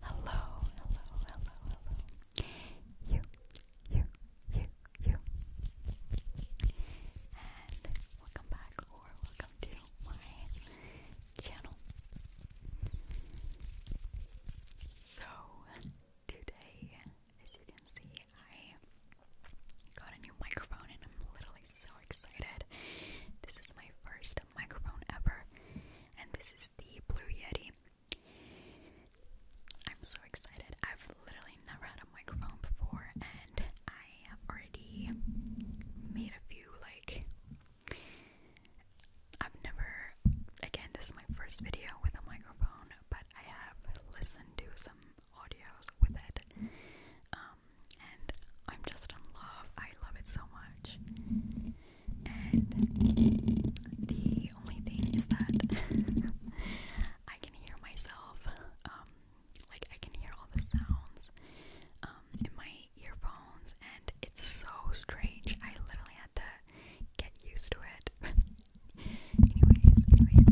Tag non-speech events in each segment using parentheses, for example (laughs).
Hello, hello, hello, hello. You, you, you, you. And welcome back or welcome to my channel. So, today, as you can see, I got a new microphone and I'm literally so excited. This is my first microphone ever, and this is the Blue Yeti I'm so excited. I've literally never had a microphone before, and I have already made a few, like, I've never, again, this is my first video with a microphone, but I have listened to some audios with it. Um, and I'm just in love. I love it so much and the only thing is that (laughs) I can hear myself, um, like I can hear all the sounds um, in my earphones, and it's so strange. I literally had to get used to it. (laughs) anyways, anyways,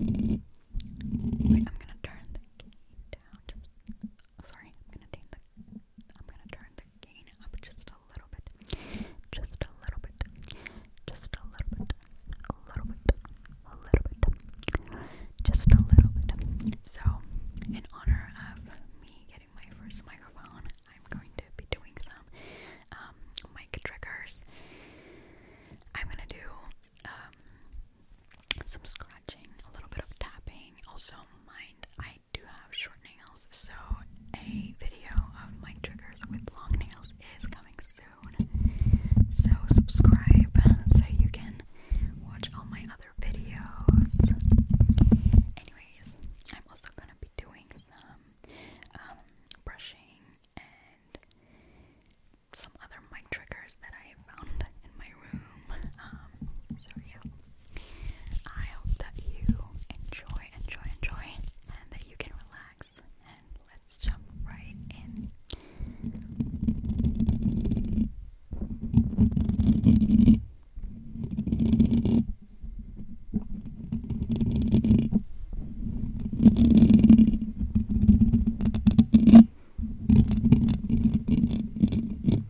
anyways. Wait, I'm gonna turn the sorry, I'm gonna turn the gain up just a little bit. Just a little bit. Just a little bit. A little bit. A little bit. Just a little bit. So in honor of me getting my first microphone, I'm going to be doing some um, mic triggers. I'm gonna do um scratching, a little bit of tapping. Also, mind I do have short nails, so a video of my triggers with long nails is coming soon. So subscribe so you can watch all my other videos. Anyways, I'm also gonna be doing some um, brushing and some other mic triggers that I found in my um, so yeah. I hope that you enjoy, enjoy, enjoy, and that you can relax. And let's jump right in.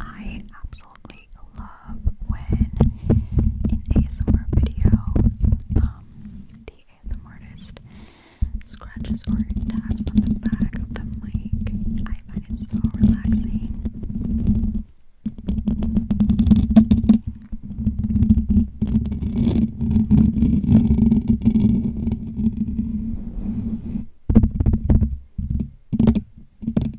I absolutely I love when in ASMR video, um, the ASMR artist scratches or taps on the back of the mic. I find it so relaxing.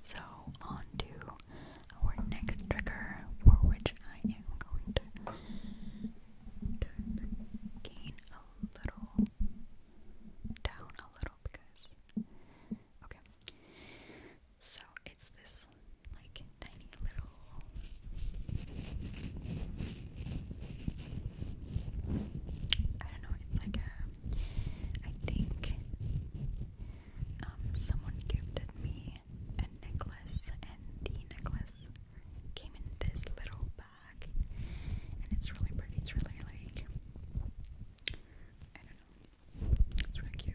So, on to our next trigger for which I am going to gain a little down a little because okay. So it's this like tiny little I don't know, it's like a I think um, someone gifted me a necklace, and the necklace came in this little bag, and it's really pretty. It's really like I don't know, it's really cute.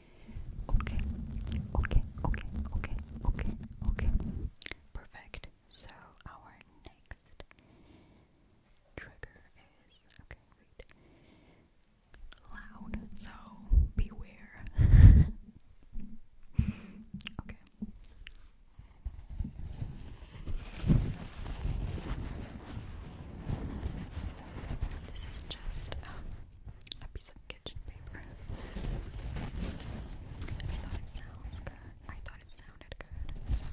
Okay, okay, okay, okay, okay, okay. Perfect. So our next trigger is okay, wait. Loud, so beware. (laughs) okay. This is just um, a piece of kitchen paper. I thought it sounds good. I thought it sounded good. Sorry.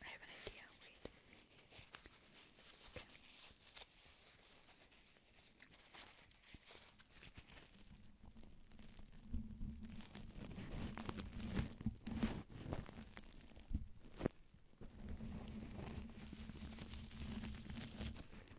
I have an idea. Wait. Okay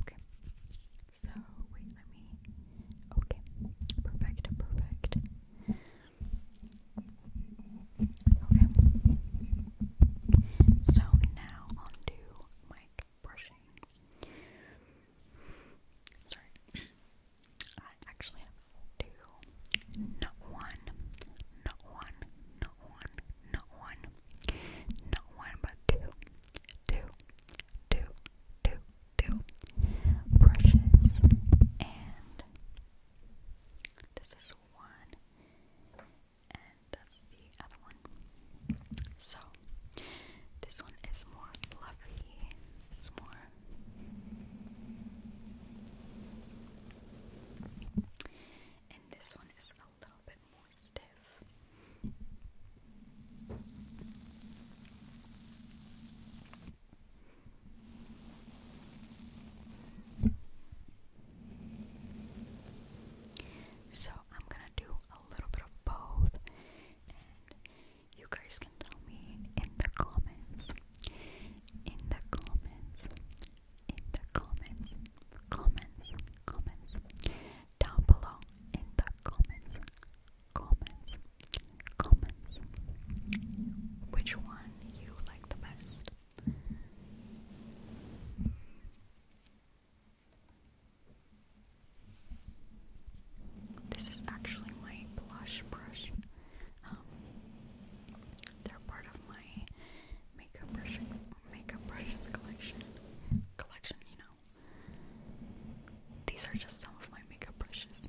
Okay. So wait, let me. Okay. Perfect. Perfect. Okay. So now on to brushing. Sorry. I actually have two. Not one. Not one. Not one. Not one. Not one, but two do, do, do, do brushes, and this is one, and that's the other one. So this one is more fluffy. It's more. And this one is a little bit more so, I'm gonna do a little bit of both, and you guys can tell me in the comments. In the comments, in the comments, comments, comments down below in the comments, comments, comments, which one you like the best. This is actually my blush brush. Um, they're part of my makeup brush, makeup brushes collection. Collection, you know. These are just some of my makeup brushes.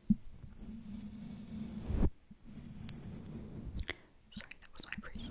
Sorry, that was my breeze.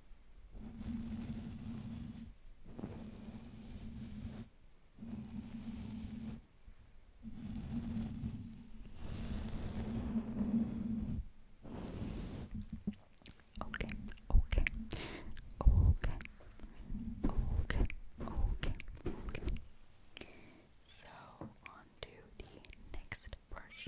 Okay, okay, okay, okay, okay, okay. So on the next brush.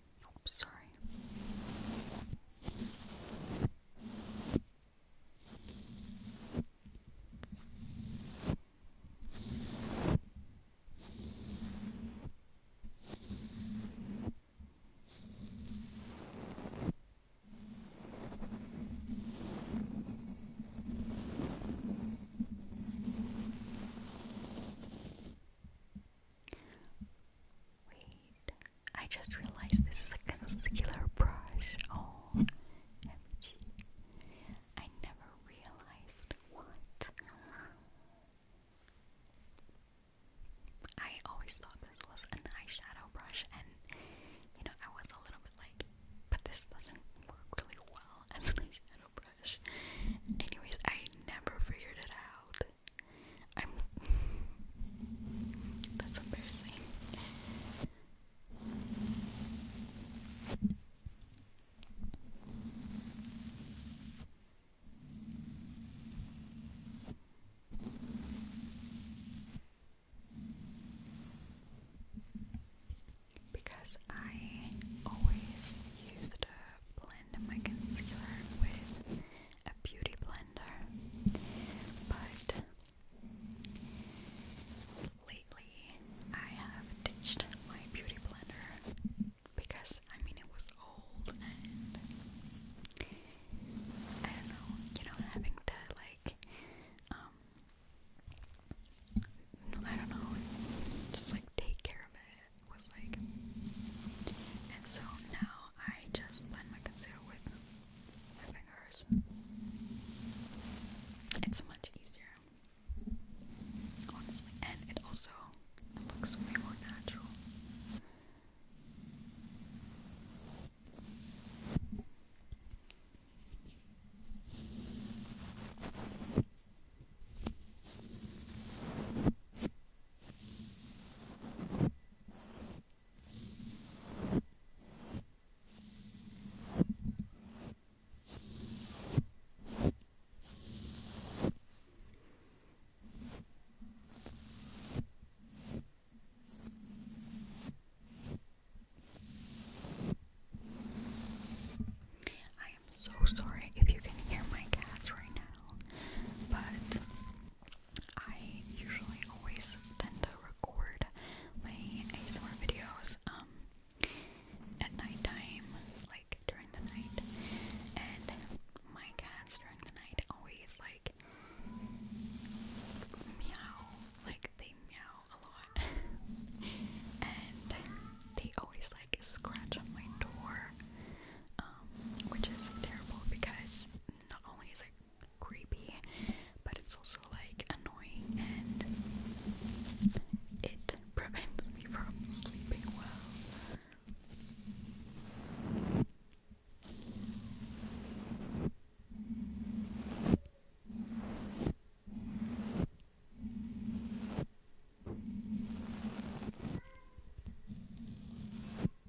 Oops, sorry. Wait, I just realized this is a concealer brush. Oh, MG. I never realized what. I always thought this was an eyeshadow brush, and you know, I was a little bit like, but this doesn't work really well as an eyeshadow brush. Anyways, I never figured it out that's embarrassing. Because I always used to blend my concealer with a beauty blender, but lately I have ditched my beauty blender because I mean it was old and I don't know, you know, having to like um, I don't know, just like take care of it was like and so now I just blend my concealer with my fingers. It's much easier, honestly, and it also looks way more natural. I am so sorry if you can hear my cats right now, but I usually always tend to record my ASMR videos um at nighttime, like during the night, and my cats during the night always like meow, like they meow a lot, (laughs) and they always like scratch on my door, um, which is terrible because not only is it creepy, but it's also like annoying and it prevents me from sleeping well.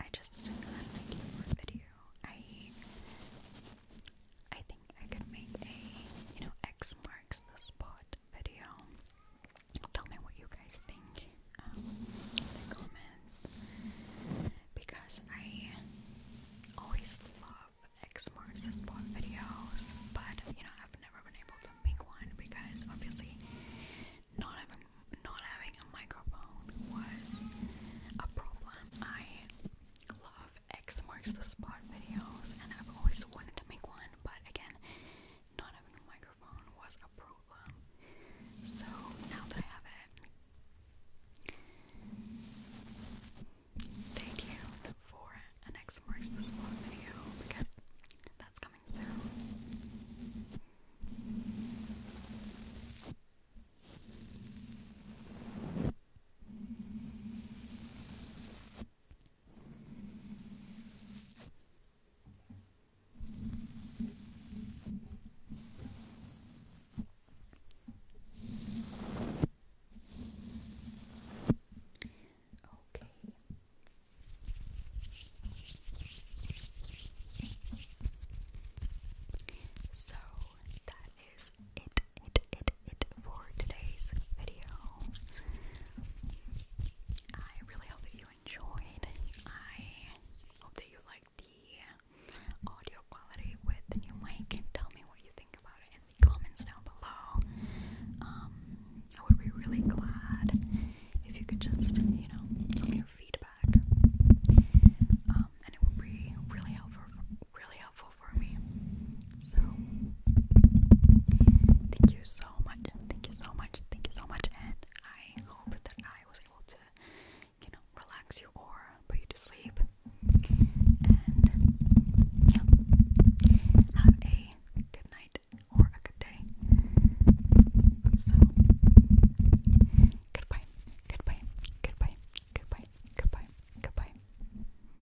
I just had an video. I I think I could make a, you know, X marks the spot video. Tell me what you guys think um, in the comments because I always love X marks the spot videos, but you know, I've never been able to make one because obviously not having not having a microphone was a problem. I love X marks the spot videos, and I've always wanted to make one, but again, not having a microphone was a problem. So now that I have it, stay tuned for an X marks the spot video because that's coming soon. Okay. So that is it, it, it, it for today's video. I really hope that you enjoyed. I hope that you liked the audio quality with the new mic. Tell me what you think about it in the comments down below. Um, I would be really glad if you could just, you know, tell me your feedback. Um, and it would be really helpful, really helpful for me. So thank you so much, thank you so much, thank you so much, and I hope that I was able to, you know, relax you or put you to sleep. And yeah, have a good night or a good day. So goodbye, goodbye, goodbye, goodbye, goodbye, goodbye.